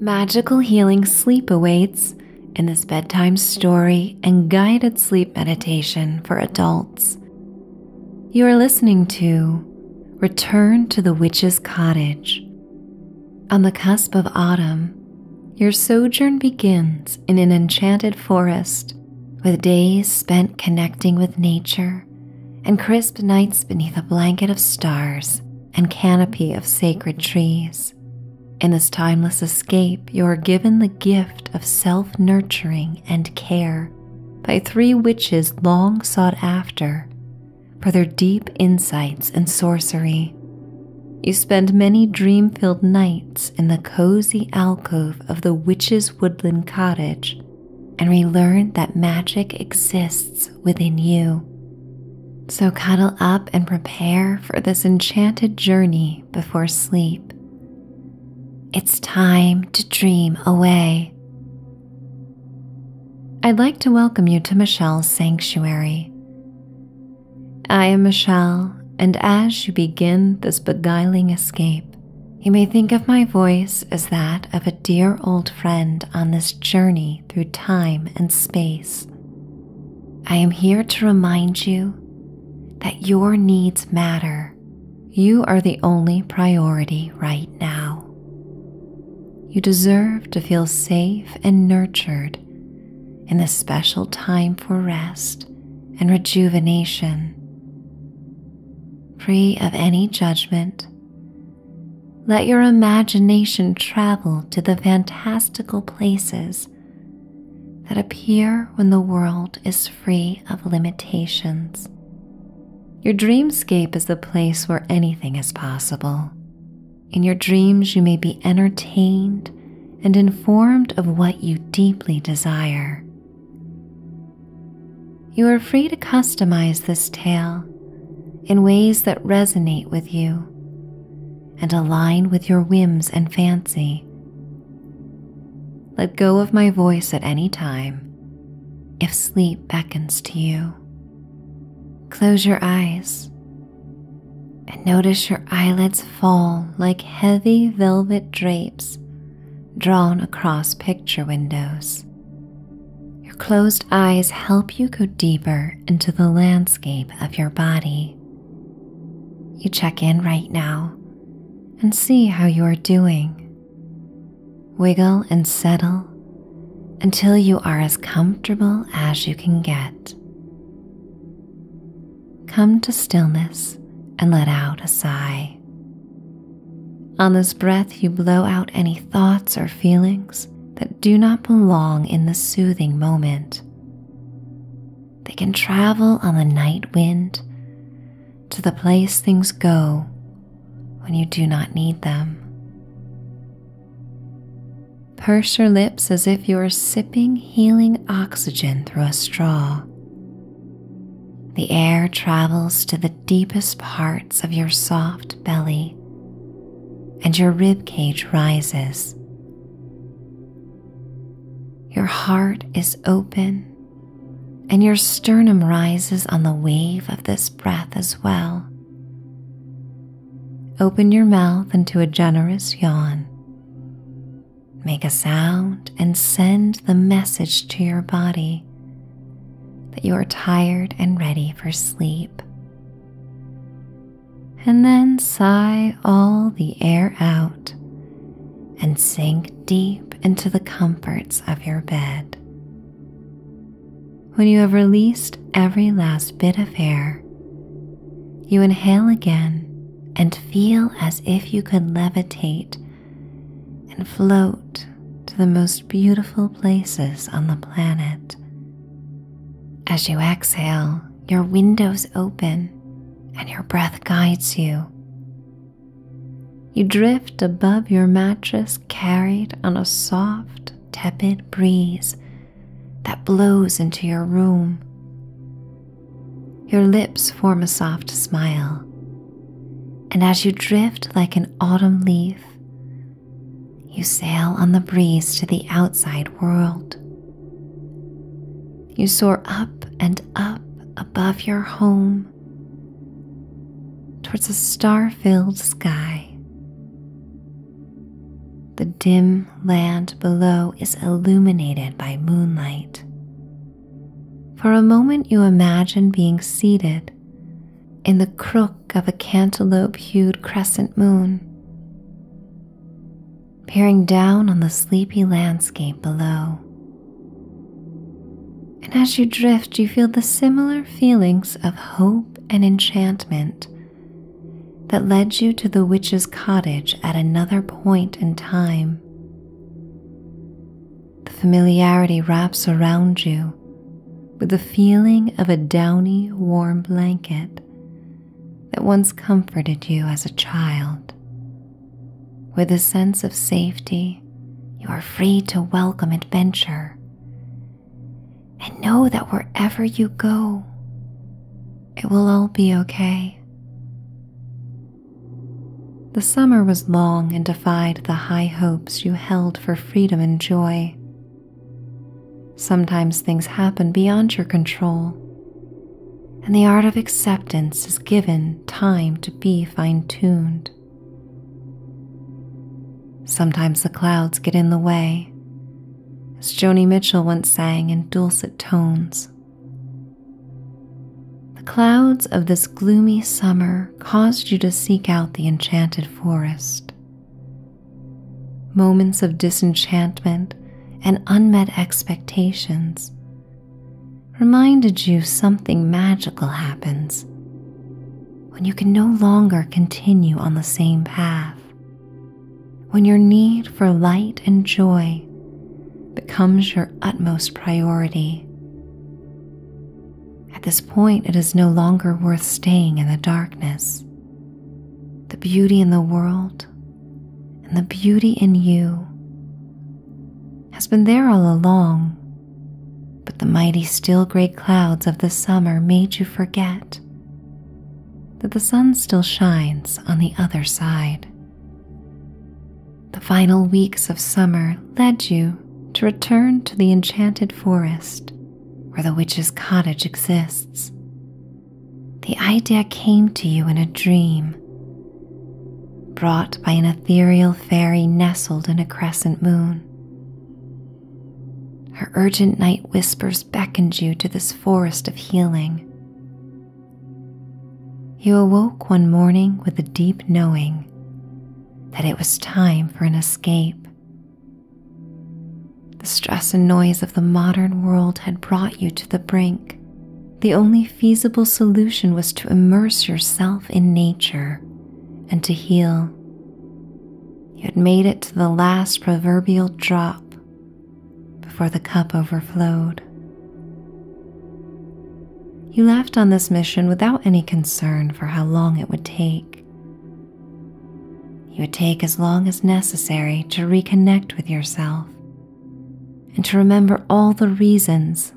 Magical healing sleep awaits in this bedtime story and guided sleep meditation for adults. You are listening to Return to the Witch's Cottage. On the cusp of autumn, your sojourn begins in an enchanted forest with days spent connecting with nature and crisp nights beneath a blanket of stars and canopy of sacred trees. In this timeless escape, you are given the gift of self nurturing and care by three witches long sought after for their deep insights and sorcery. You spend many dream filled nights in the cozy alcove of the witches' woodland cottage and we learn that magic exists within you. So cuddle up and prepare for this enchanted journey before sleep. It's time to dream away. I'd like to welcome you to Michelle's Sanctuary. I am Michelle, and as you begin this beguiling escape, you may think of my voice as that of a dear old friend on this journey through time and space. I am here to remind you that your needs matter. You are the only priority right now. You deserve to feel safe and nurtured in this special time for rest and rejuvenation. Free of any judgment let your imagination travel to the fantastical places that appear when the world is free of limitations. Your dreamscape is the place where anything is possible. In your dreams, you may be entertained and informed of what you deeply desire you are free to customize this tale in ways that resonate with you and align with your whims and fancy. Let go of my voice at any time if sleep beckons to you. Close your eyes and notice your eyelids fall like heavy velvet drapes drawn across picture windows. Your closed eyes help you go deeper into the landscape of your body. You check in right now and see how you are doing. Wiggle and settle until you are as comfortable as you can get. Come to stillness and let out a sigh. On this breath, you blow out any thoughts or feelings that do not belong in the soothing moment. They can travel on the night wind to the place things go when you do not need them. Purse your lips as if you are sipping healing oxygen through a straw. The air travels to the deepest parts of your soft belly, and your rib cage rises. Your heart is open, and your sternum rises on the wave of this breath as well. Open your mouth into a generous yawn. Make a sound and send the message to your body that you are tired and ready for sleep. And then sigh all the air out and sink deep into the comforts of your bed. When you have released every last bit of air, you inhale again and feel as if you could levitate and float to the most beautiful places on the planet. As you exhale, your windows open and your breath guides you. You drift above your mattress, carried on a soft, tepid breeze that blows into your room. Your lips form a soft smile, and as you drift like an autumn leaf you sail on the breeze to the outside world. You soar up and up above your home towards a star filled sky. The dim land below is illuminated by moonlight. For a moment, you imagine being seated in the crook of a cantaloupe hued crescent moon, peering down on the sleepy landscape below. And as you drift, you feel the similar feelings of hope and enchantment that led you to the witch's cottage at another point in time. The familiarity wraps around you with the feeling of a downy, warm blanket that once comforted you as a child. With a sense of safety, you are free to welcome adventure. And know that wherever you go, it will all be okay. The summer was long and defied the high hopes you held for freedom and joy. Sometimes things happen beyond your control, and the art of acceptance is given time to be fine tuned. Sometimes the clouds get in the way, as Joni Mitchell once sang in dulcet tones. The clouds of this gloomy summer caused you to seek out the enchanted forest. Moments of disenchantment and unmet expectations reminded you something magical happens when you can no longer continue on the same path, when your need for light and joy becomes your utmost priority. At this point, it is no longer worth staying in the darkness. The beauty in the world and the beauty in you has been there all along, but the mighty, still gray clouds of the summer made you forget that the sun still shines on the other side. The final weeks of summer led you to return to the enchanted forest where the witch's cottage exists. The idea came to you in a dream, brought by an ethereal fairy nestled in a crescent moon. Her urgent night whispers beckoned you to this forest of healing. You awoke one morning with a deep knowing that it was time for an escape the stress and noise of the modern world had brought you to the brink. The only feasible solution was to immerse yourself in nature and to heal. You had made it to the last proverbial drop before the cup overflowed. You left on this mission without any concern for how long it would take, you would take as long as necessary to reconnect with yourself and to remember all the reasons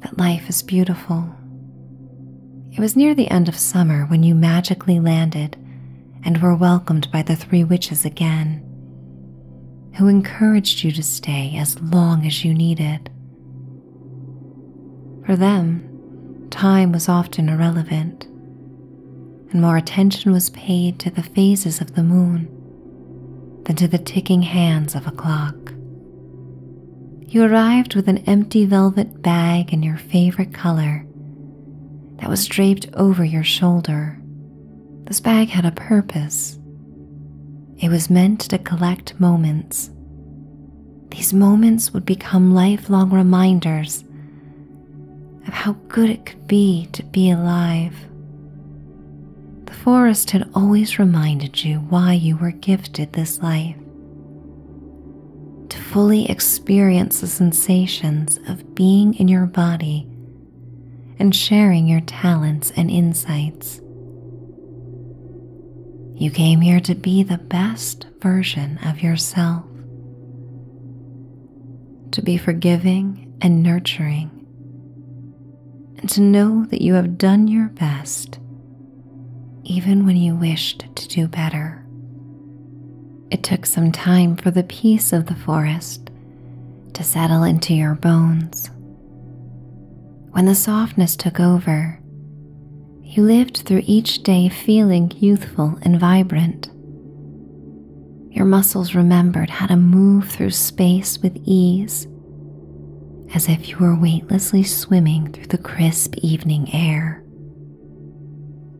that life is beautiful. It was near the end of summer when you magically landed and were welcomed by the three witches again, who encouraged you to stay as long as you needed. For them, time was often irrelevant, and more attention was paid to the phases of the moon than to the ticking hands of a clock. You arrived with an empty velvet bag in your favorite color that was draped over your shoulder. This bag had a purpose. It was meant to collect moments these moments would become lifelong reminders of how good it could be to be alive. The forest had always reminded you why you were gifted this life to fully experience the sensations of being in your body and sharing your talents and insights. You came here to be the best version of yourself. To be forgiving and nurturing, and to know that you have done your best even when you wished to do better. It took some time for the peace of the forest to settle into your bones. When the softness took over, you lived through each day feeling youthful and vibrant. Your muscles remembered how to move through space with ease, as if you were weightlessly swimming through the crisp evening air.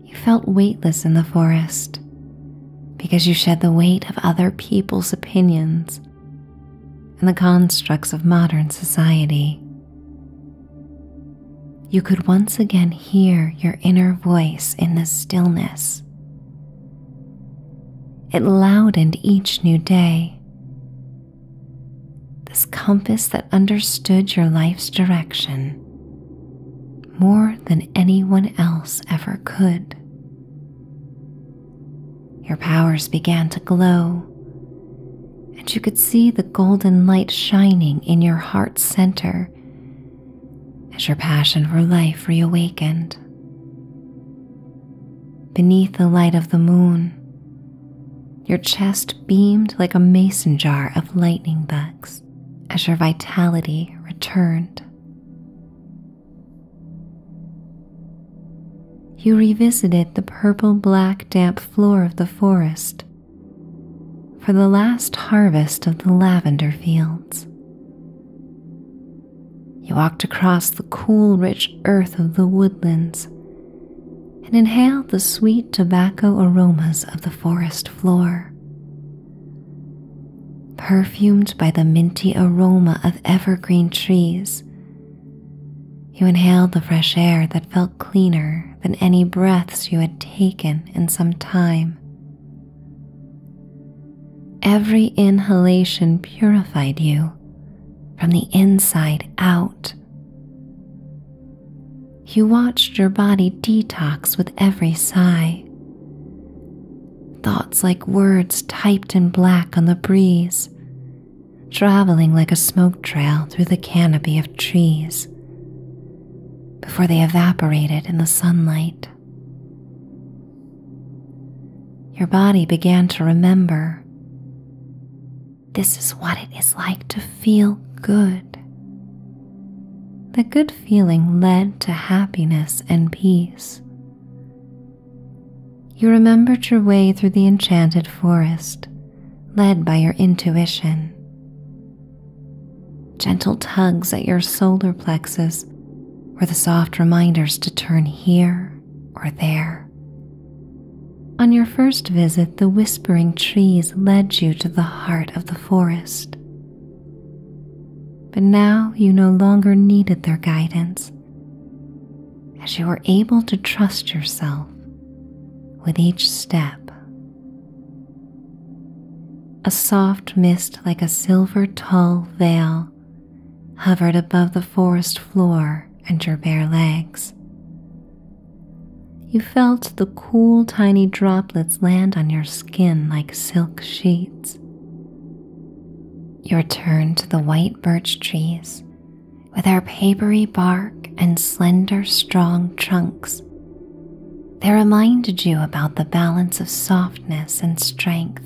You felt weightless in the forest because you shed the weight of other people's opinions and the constructs of modern society. You could once again hear your inner voice in the stillness. It loudened each new day. This compass that understood your life's direction more than anyone else ever could. Your powers began to glow, and you could see the golden light shining in your heart's center as your passion for life reawakened. Beneath the light of the moon, your chest beamed like a mason jar of lightning bugs as your vitality returned. You revisited the purple black damp floor of the forest for the last harvest of the lavender fields. You walked across the cool, rich earth of the woodlands and inhaled the sweet tobacco aromas of the forest floor. Perfumed by the minty aroma of evergreen trees, you inhaled the fresh air that felt cleaner than any breaths you had taken in some time. Every inhalation purified you from the inside out. You watched your body detox with every sigh. Thoughts like words typed in black on the breeze, traveling like a smoke trail through the canopy of trees before they evaporated in the sunlight. Your body began to remember this is what it is like to feel good. The good feeling led to happiness and peace. You remembered your way through the enchanted forest, led by your intuition. Gentle tugs at your solar plexus were the soft reminders to turn here or there. On your first visit, the whispering trees led you to the heart of the forest. But now you no longer needed their guidance, as you were able to trust yourself with each step a soft mist, like a silver tall veil, hovered above the forest floor and your bare legs. You felt the cool, tiny droplets land on your skin like silk sheets. You turn to the white birch trees, with their papery bark and slender, strong trunks, they reminded you about the balance of softness and strength,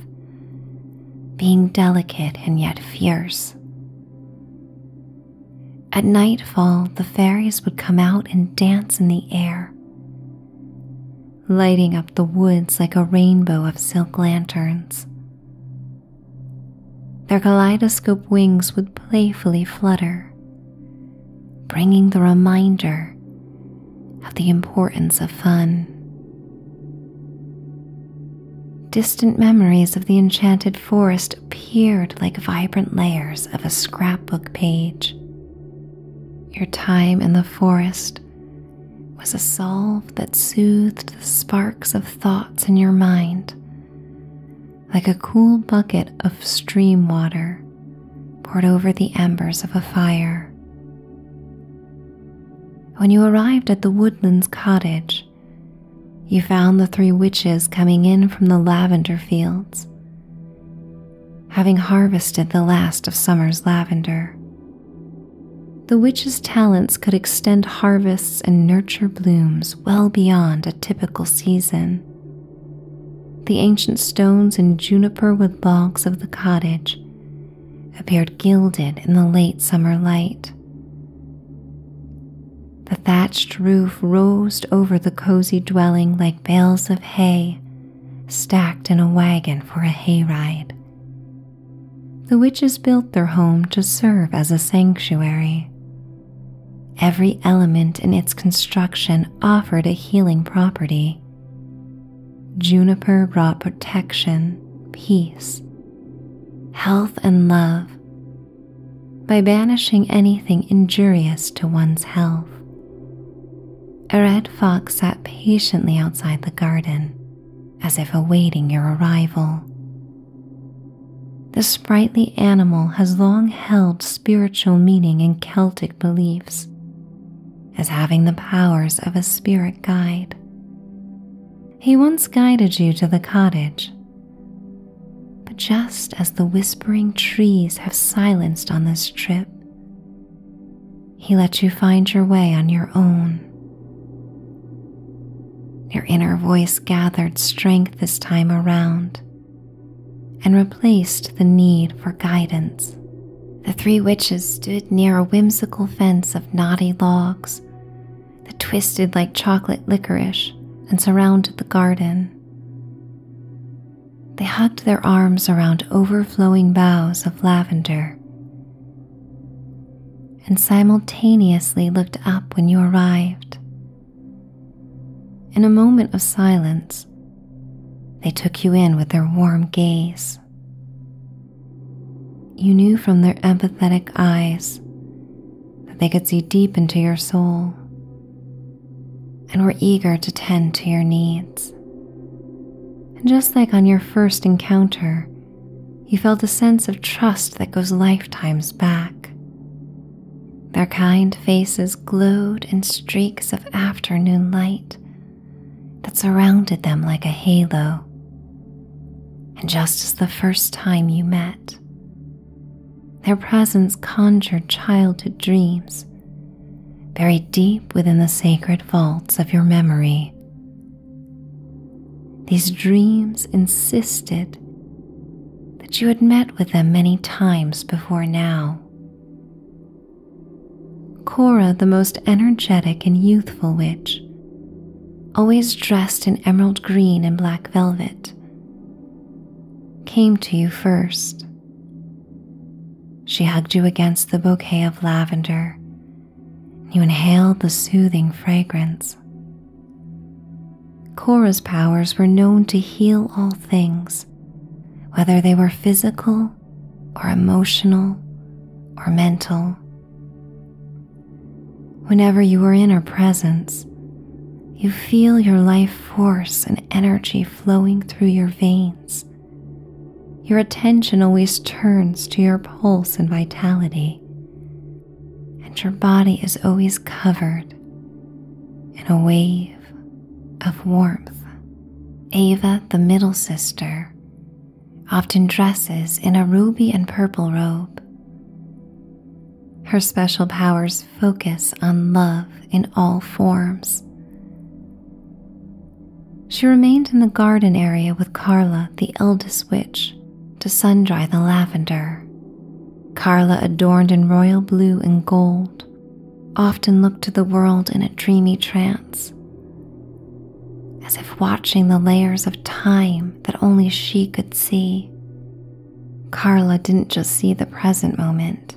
being delicate and yet fierce. At nightfall, the fairies would come out and dance in the air, lighting up the woods like a rainbow of silk lanterns. Their kaleidoscope wings would playfully flutter, bringing the reminder of the importance of fun. Distant memories of the enchanted forest appeared like vibrant layers of a scrapbook page. Your time in the forest was a salve that soothed the sparks of thoughts in your mind like a cool bucket of stream water poured over the embers of a fire. When you arrived at the woodland's cottage, you found the three witches coming in from the lavender fields, having harvested the last of summer's lavender. The witches' talents could extend harvests and nurture blooms well beyond a typical season. The ancient stones and juniper wood logs of the cottage appeared gilded in the late summer light. The thatched roof rose over the cozy dwelling like bales of hay stacked in a wagon for a hayride. The witches built their home to serve as a sanctuary, Every element in its construction offered a healing property. Juniper brought protection, peace, health, and love by banishing anything injurious to one's health. A red fox sat patiently outside the garden, as if awaiting your arrival. The sprightly animal has long held spiritual meaning in Celtic beliefs as having the powers of a spirit guide. He once guided you to the cottage. But just as the whispering trees have silenced on this trip, he let you find your way on your own. Your inner voice gathered strength this time around and replaced the need for guidance. The three witches stood near a whimsical fence of knotty logs that twisted like chocolate licorice and surrounded the garden. They hugged their arms around overflowing boughs of lavender and simultaneously looked up when you arrived. In a moment of silence, they took you in with their warm gaze. You knew from their empathetic eyes that they could see deep into your soul and were eager to tend to your needs. And just like on your first encounter, you felt a sense of trust that goes lifetimes back their kind faces glowed in streaks of afternoon light that surrounded them like a halo. And just as the first time you met, their presence conjured childhood dreams buried deep within the sacred vaults of your memory. These dreams insisted that you had met with them many times before now. Cora, the most energetic and youthful witch, always dressed in emerald green and black velvet, came to you first. She hugged you against the bouquet of lavender. You inhaled the soothing fragrance. Cora's powers were known to heal all things, whether they were physical or emotional or mental. Whenever you are in her presence, you feel your life force and energy flowing through your veins. Your attention always turns to your pulse and vitality, and your body is always covered in a wave of warmth. Ava, the middle sister, often dresses in a ruby and purple robe. Her special powers focus on love in all forms. She remained in the garden area with Carla, the eldest witch, to sun dry the lavender. Carla adorned in royal blue and gold, often looked to the world in a dreamy trance, as if watching the layers of time that only she could see. Carla didn't just see the present moment.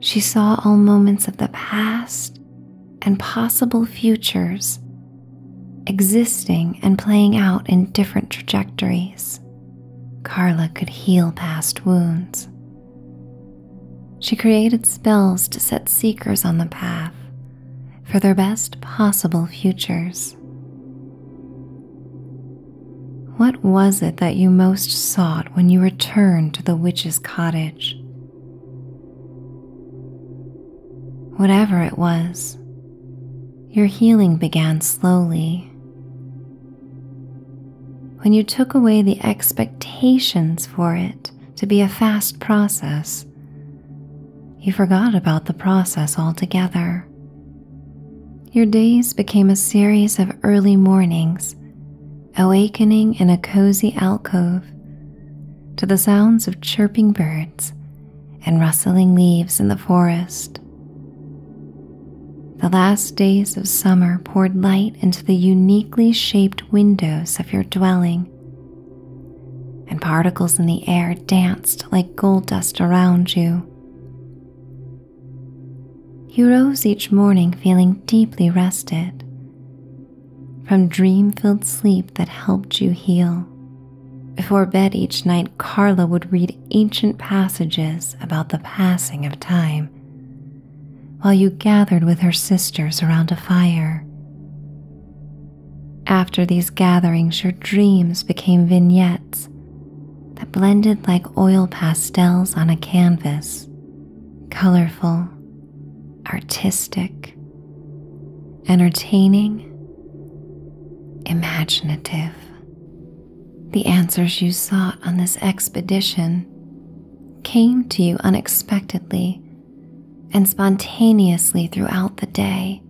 She saw all moments of the past and possible futures existing and playing out in different trajectories. Carla could heal past wounds. She created spells to set seekers on the path for their best possible futures. What was it that you most sought when you returned to the witch's cottage? Whatever it was, your healing began slowly when you took away the expectations for it to be a fast process, you forgot about the process altogether. Your days became a series of early mornings, awakening in a cozy alcove to the sounds of chirping birds and rustling leaves in the forest. The last days of summer poured light into the uniquely shaped windows of your dwelling, and particles in the air danced like gold dust around you. You rose each morning feeling deeply rested from dream filled sleep that helped you heal. Before bed each night, Carla would read ancient passages about the passing of time, while you gathered with her sisters around a fire. After these gatherings, your dreams became vignettes that blended like oil pastels on a canvas, colorful, artistic, entertaining, imaginative. The answers you sought on this expedition came to you unexpectedly and spontaneously throughout the day,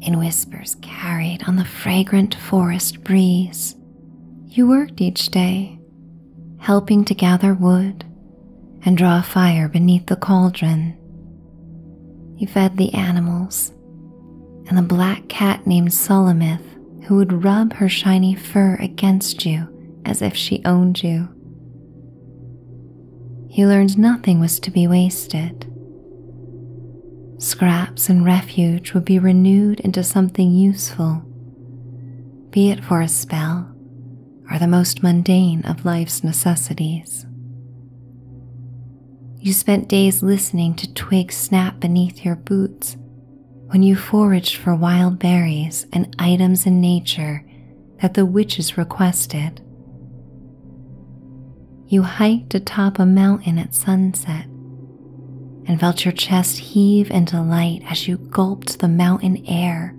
in whispers carried on the fragrant forest breeze. You worked each day, helping to gather wood and draw fire beneath the cauldron. You fed the animals and the black cat named Solomith who would rub her shiny fur against you as if she owned you. You learned nothing was to be wasted. Scraps and refuge would be renewed into something useful, be it for a spell or the most mundane of life's necessities. You spent days listening to twigs snap beneath your boots when you foraged for wild berries and items in nature that the witches requested. You hiked atop a mountain at sunset and felt your chest heave into light as you gulped the mountain air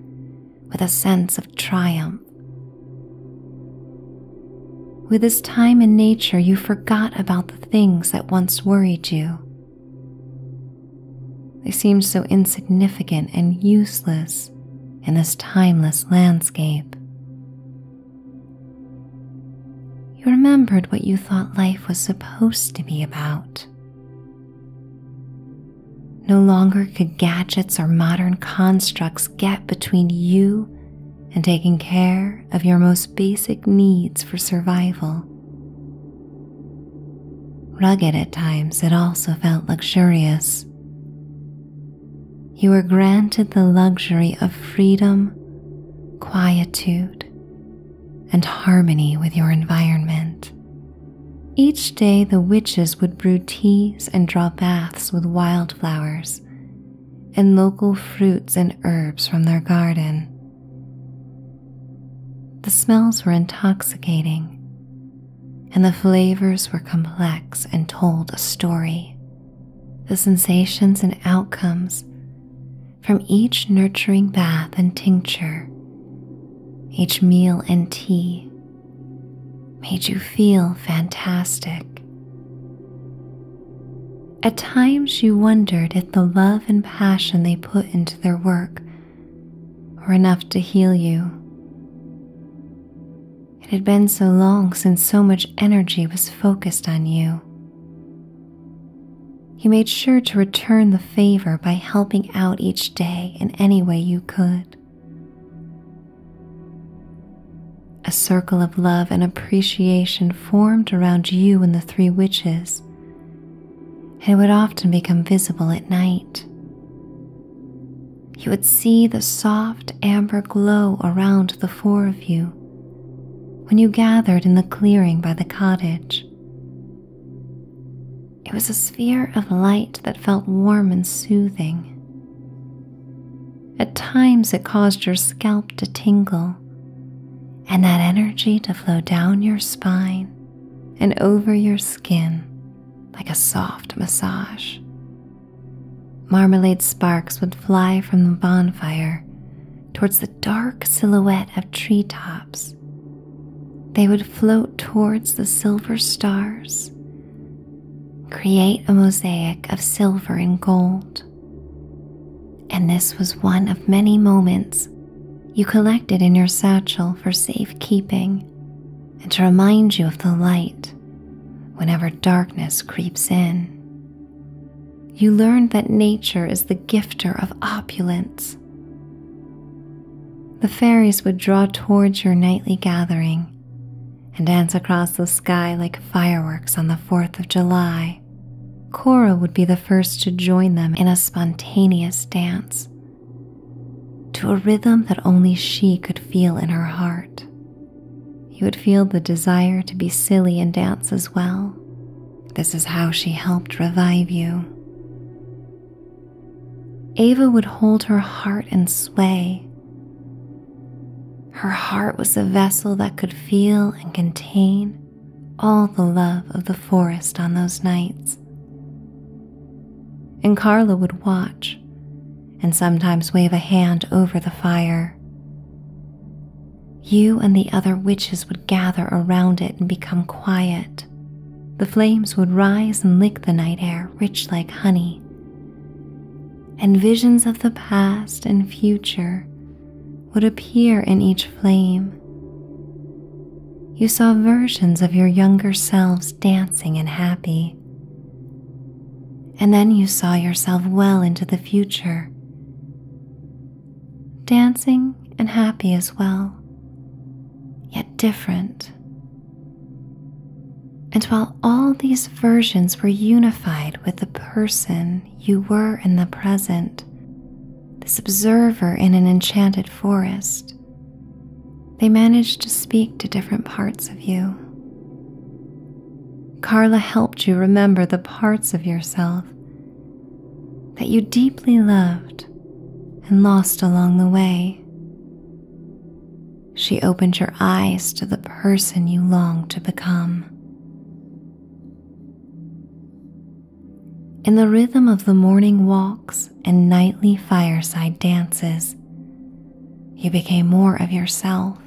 with a sense of triumph. With this time in nature, you forgot about the things that once worried you. They seemed so insignificant and useless in this timeless landscape. You remembered what you thought life was supposed to be about. No longer could gadgets or modern constructs get between you and taking care of your most basic needs for survival. Rugged at times, it also felt luxurious. You were granted the luxury of freedom, quietude, and harmony with your environment. Each day, the witches would brew teas and draw baths with wildflowers and local fruits and herbs from their garden. The smells were intoxicating, and the flavors were complex and told a story. The sensations and outcomes from each nurturing bath and tincture, each meal and tea, made you feel fantastic. At times you wondered if the love and passion they put into their work were enough to heal you. It had been so long since so much energy was focused on you. You made sure to return the favor by helping out each day in any way you could. A circle of love and appreciation formed around you and the three witches and would often become visible at night. You would see the soft amber glow around the four of you when you gathered in the clearing by the cottage. It was a sphere of light that felt warm and soothing. At times, it caused your scalp to tingle, and that energy to flow down your spine and over your skin like a soft massage. Marmalade sparks would fly from the bonfire towards the dark silhouette of treetops. They would float towards the silver stars, create a mosaic of silver and gold. And this was one of many moments you collected in your satchel for safekeeping and to remind you of the light whenever darkness creeps in. You learned that nature is the gifter of opulence. The fairies would draw towards your nightly gathering and dance across the sky like fireworks on the 4th of July. Cora would be the first to join them in a spontaneous dance, to a rhythm that only she could feel in her heart. You would feel the desire to be silly and dance as well. This is how she helped revive you. Ava would hold her heart and sway. Her heart was a vessel that could feel and contain all the love of the forest on those nights. And Carla would watch and sometimes wave a hand over the fire. You and the other witches would gather around it and become quiet. The flames would rise and lick the night air rich like honey. And visions of the past and future would appear in each flame. You saw versions of your younger selves dancing and happy. And then you saw yourself well into the future, dancing and happy as well, yet different. And while all these versions were unified with the person you were in the present, this observer in an enchanted forest. They managed to speak to different parts of you. Carla helped you remember the parts of yourself that you deeply loved and lost along the way. She opened your eyes to the person you longed to become. In the rhythm of the morning walks and nightly fireside dances, you became more of yourself.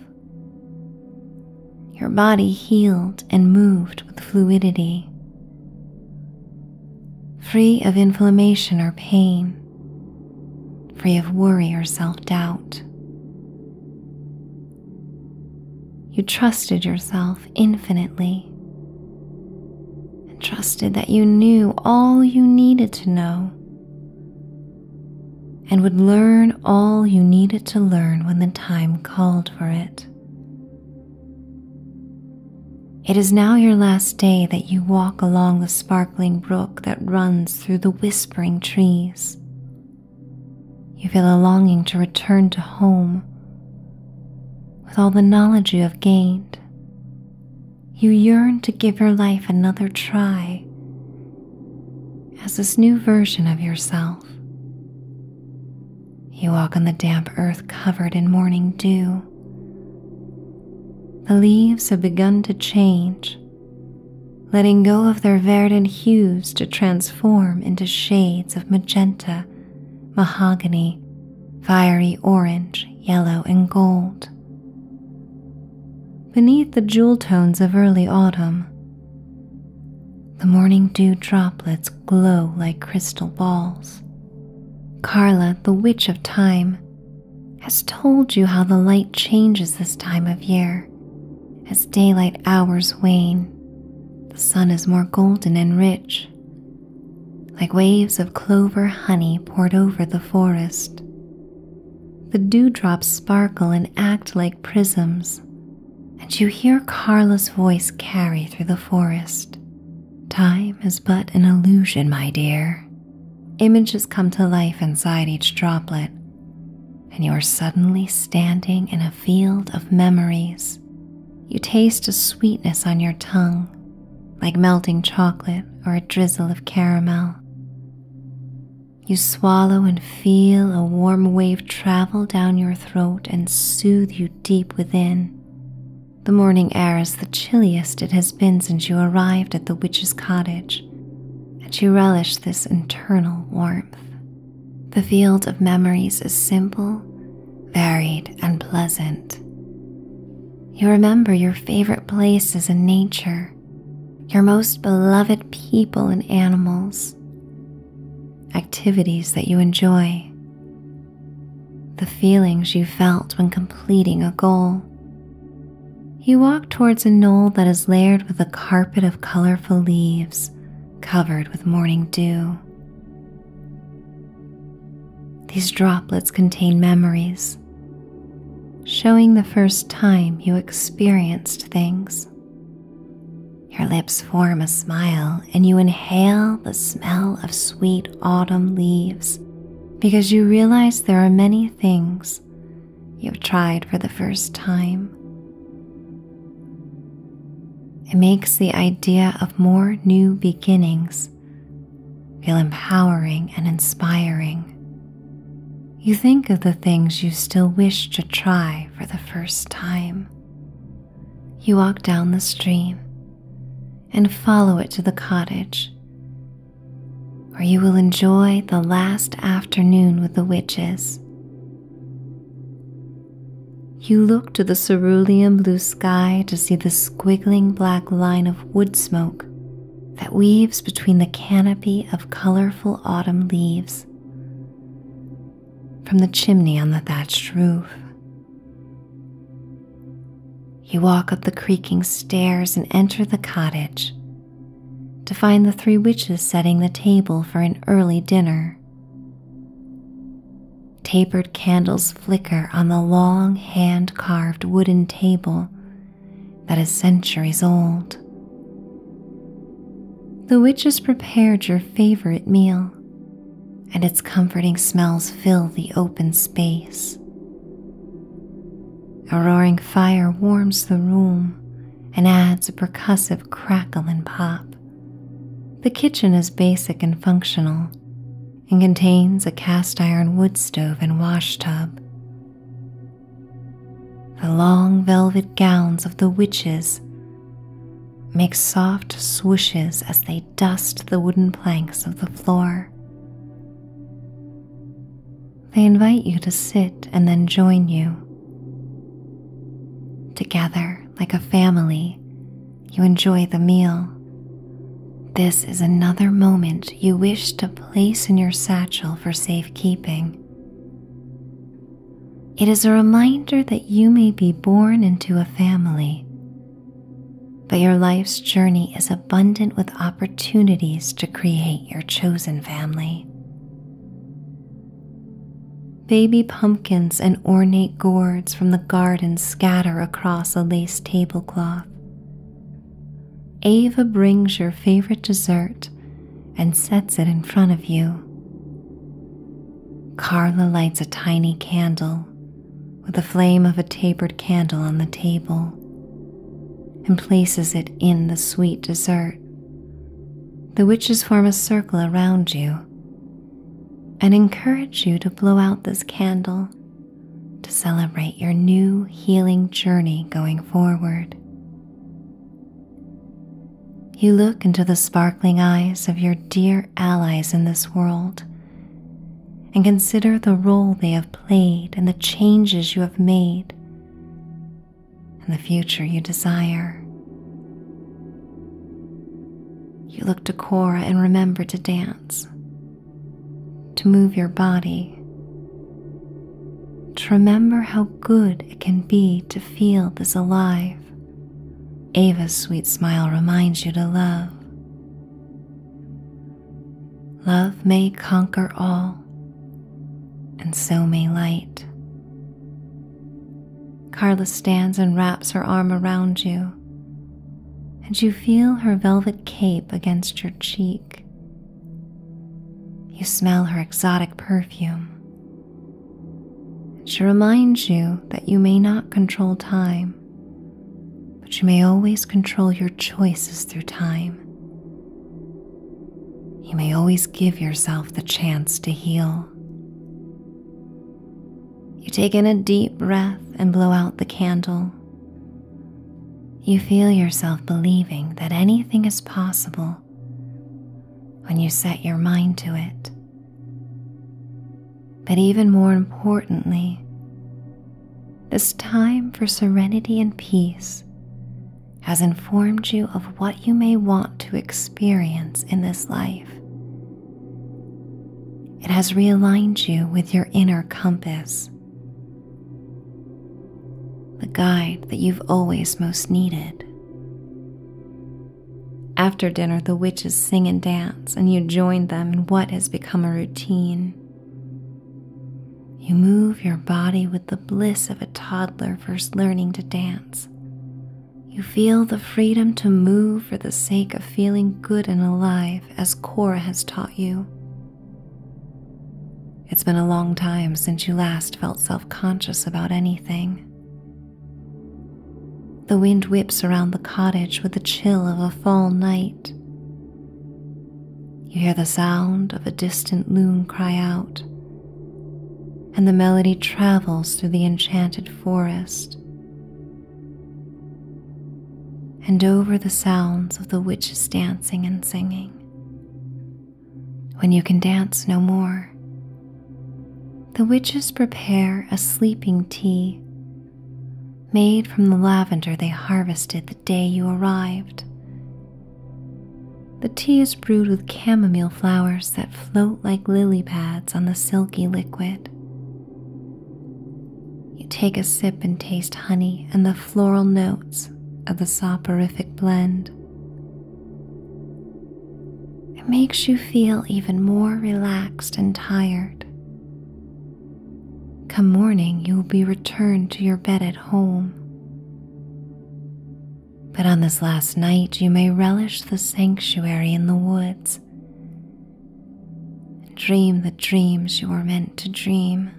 Your body healed and moved with fluidity, free of inflammation or pain, free of worry or self doubt. You trusted yourself infinitely and trusted that you knew all you needed to know and would learn all you needed to learn when the time called for it. It is now your last day that you walk along the sparkling brook that runs through the whispering trees you feel a longing to return to home with all the knowledge you have gained. You yearn to give your life another try as this new version of yourself. You walk on the damp earth covered in morning dew. The leaves have begun to change, letting go of their verdant hues to transform Form into shades of magenta, mahogany, fiery orange, yellow, and gold. Beneath the jewel tones of early autumn, the morning dew droplets glow like crystal balls. Carla, the witch of time, has told you how the light changes this time of year as daylight hours wane, the sun is more golden and rich, like waves of clover honey poured over the forest. The dewdrops sparkle and act like prisms, and you hear Carla's voice carry through the forest. Time is but an illusion, my dear. Images come to life inside each droplet, and you are suddenly standing in a field of memories. You taste a sweetness on your tongue, like melting chocolate or a drizzle of caramel. You swallow and feel a warm wave travel down your throat and soothe you deep within. The morning air is the chilliest it has been since you arrived at the witch's cottage, and you relish this internal warmth. The field of memories is simple, varied, and pleasant. You remember your favorite places in nature, your most beloved people and animals, activities that you enjoy, the feelings you felt when completing a goal. You walk towards a knoll that is layered with a carpet of colorful leaves covered with morning dew. These droplets contain memories, showing the first time you experienced things. Your lips form a smile and you inhale the smell of sweet autumn leaves because you realize there are many things you've tried for the first time it makes the idea of more new beginnings feel empowering and inspiring. You think of the things you still wish to try for the first time. You walk down the stream and follow it to the cottage, where you will enjoy the last afternoon with the witches. You look to the cerulean blue sky to see the squiggling black line of wood smoke that weaves between the canopy of colorful autumn leaves. From the chimney on the thatched roof. You walk up the creaking stairs and enter the cottage to find the three witches setting the table for an early dinner. Tapered candles flicker on the long hand carved wooden table that is centuries old. The witch has prepared your favorite meal, and its comforting smells fill the open space. A roaring fire warms the room and adds a percussive crackle and pop. The kitchen is basic and functional and contains a cast iron wood stove and washtub. The long velvet gowns of the witches make soft swooshes as they dust the wooden planks of the floor. They invite you to sit and then join you. Together, like a family. You enjoy the meal. This is another moment you wish to place in your satchel for safekeeping. It is a reminder that you may be born into a family, but your life's journey is abundant with opportunities to create your chosen family. Baby pumpkins and ornate gourds from the garden scatter across a lace tablecloth. Ava brings your favorite dessert and sets it in front of you. Carla lights a tiny candle with the flame of a tapered candle on the table and places it in the sweet dessert. The witches form a circle around you and encourage you to blow out this candle to celebrate your new healing journey going forward. You look into the sparkling eyes of your dear allies in this world and consider the role they have played and the changes you have made and the future you desire. You look to Cora and remember to dance, to move your body, to remember how good it can be to feel this alive. Ava's sweet smile reminds you to love. Love may conquer all, and so may light. Carla stands and wraps her arm around you, and you feel her velvet cape against your cheek. You smell her exotic perfume. She reminds you that you may not control time, but you may always control your choices through time. You may always give yourself the chance to heal. You take in a deep breath and blow out the candle. You feel yourself believing that anything is possible when you set your mind to it. But even more importantly, this time for serenity and peace has informed you of what you may want to experience in this life it has realigned you with your inner compass, the guide that you've always most needed. After dinner, the witches sing and dance, and you join them in what has become a routine. You move your body with the bliss of a toddler first learning to dance, you feel the freedom to move for the sake of feeling good and alive, as Cora has taught you. It's been a long time since you last felt self conscious about anything. The wind whips around the cottage with the chill of a fall night. You hear the sound of a distant loon cry out, and the melody travels through the enchanted forest and over the sounds of the witches dancing and singing. When you can dance no more, the witches prepare a sleeping tea made from the lavender they harvested the day you arrived. The tea is brewed with chamomile flowers that float like lily pads on the silky liquid. You take a sip and taste honey and the floral notes of the soporific blend. It makes you feel even more relaxed and tired. Come morning, you will be returned to your bed at home. But on this last night, you may relish the sanctuary in the woods and dream the dreams you were meant to dream.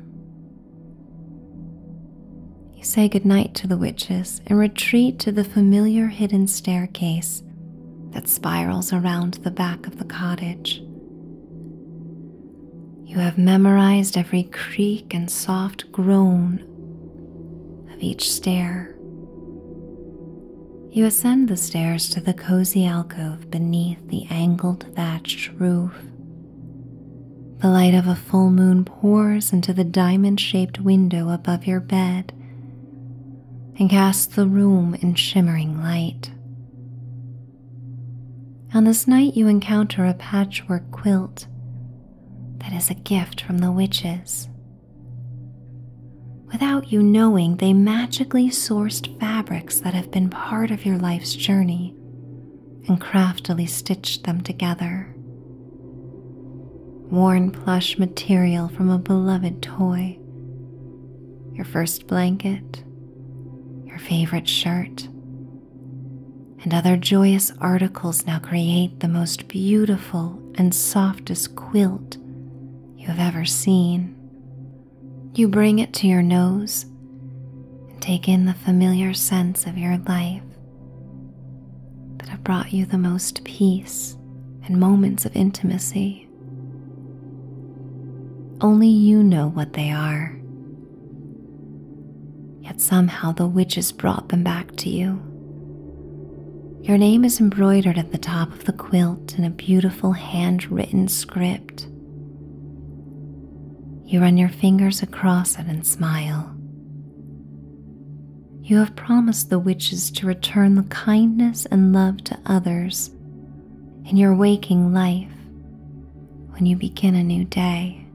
You say goodnight to the witches and retreat to the familiar hidden staircase that spirals around the back of the cottage. You have memorized every creak and soft groan of each stair. You ascend the stairs to the cozy alcove beneath the angled thatched roof. The light of a full moon pours into the diamond shaped window above your bed and casts the room in shimmering light. On this night, you encounter a patchwork quilt that is a gift from the witches Without you knowing, they magically sourced fabrics that have been part of your life's journey and craftily stitched them together. Worn plush material from a beloved toy, your first blanket, your favorite shirt, and other joyous articles now create the most beautiful and softest quilt you have ever seen. You bring it to your nose and take in the familiar sense of your life that have brought you the most peace and moments of intimacy. Only you know what they are. Yet somehow the witches brought them back to you. Your name is embroidered at the top the quilt in a beautiful handwritten script. You run your fingers across it and smile. You have promised the witches to return the kindness and love to others in your waking life when you begin a new day.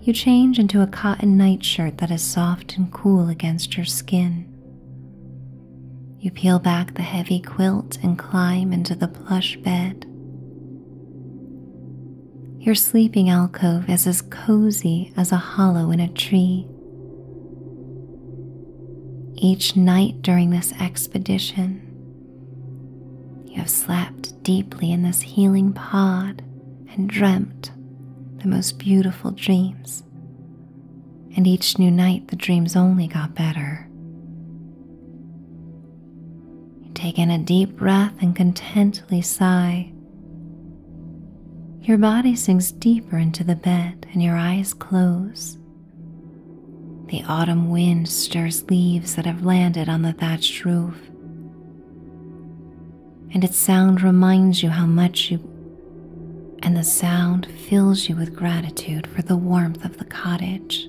You change into a cotton nightshirt that is soft and cool against your skin. You peel back the heavy quilt and climb into the plush bed. Your sleeping alcove is as cozy as a hollow in a tree. Each night during this expedition, you have slept deeply in this healing pod and dreamt the most beautiful dreams. And each new night, the dreams only got better. You take in a deep breath and contently sigh. Your body sinks deeper into the bed and your eyes close. The autumn wind stirs leaves that have landed on the thatched roof, and its sound reminds you how much you and the sound fills you with gratitude for the warmth of the cottage.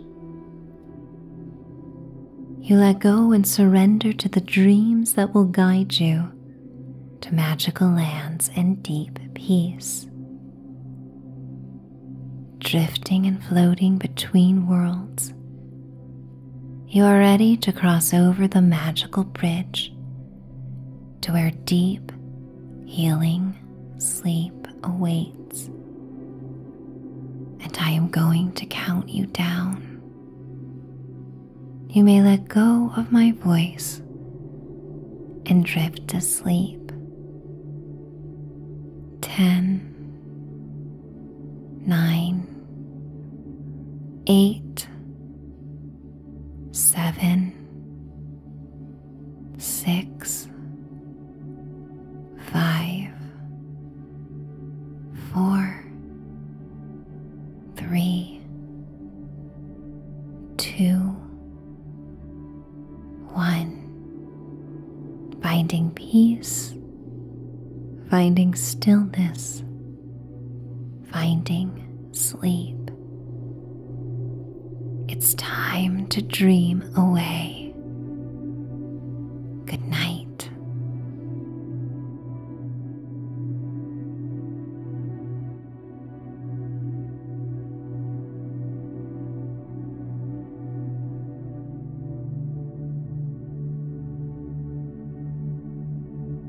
You let go and surrender to the dreams that will guide you to magical lands and deep peace. Drifting and floating between worlds, you are ready to cross over the magical bridge to where deep, healing sleep awaits. And I am going to count you down. You may let go of my voice and drift to sleep. Ten, nine, eight, seven, six, five, four, three, two, one. Finding peace, finding stillness, finding sleep. It's time to dream away. Good night.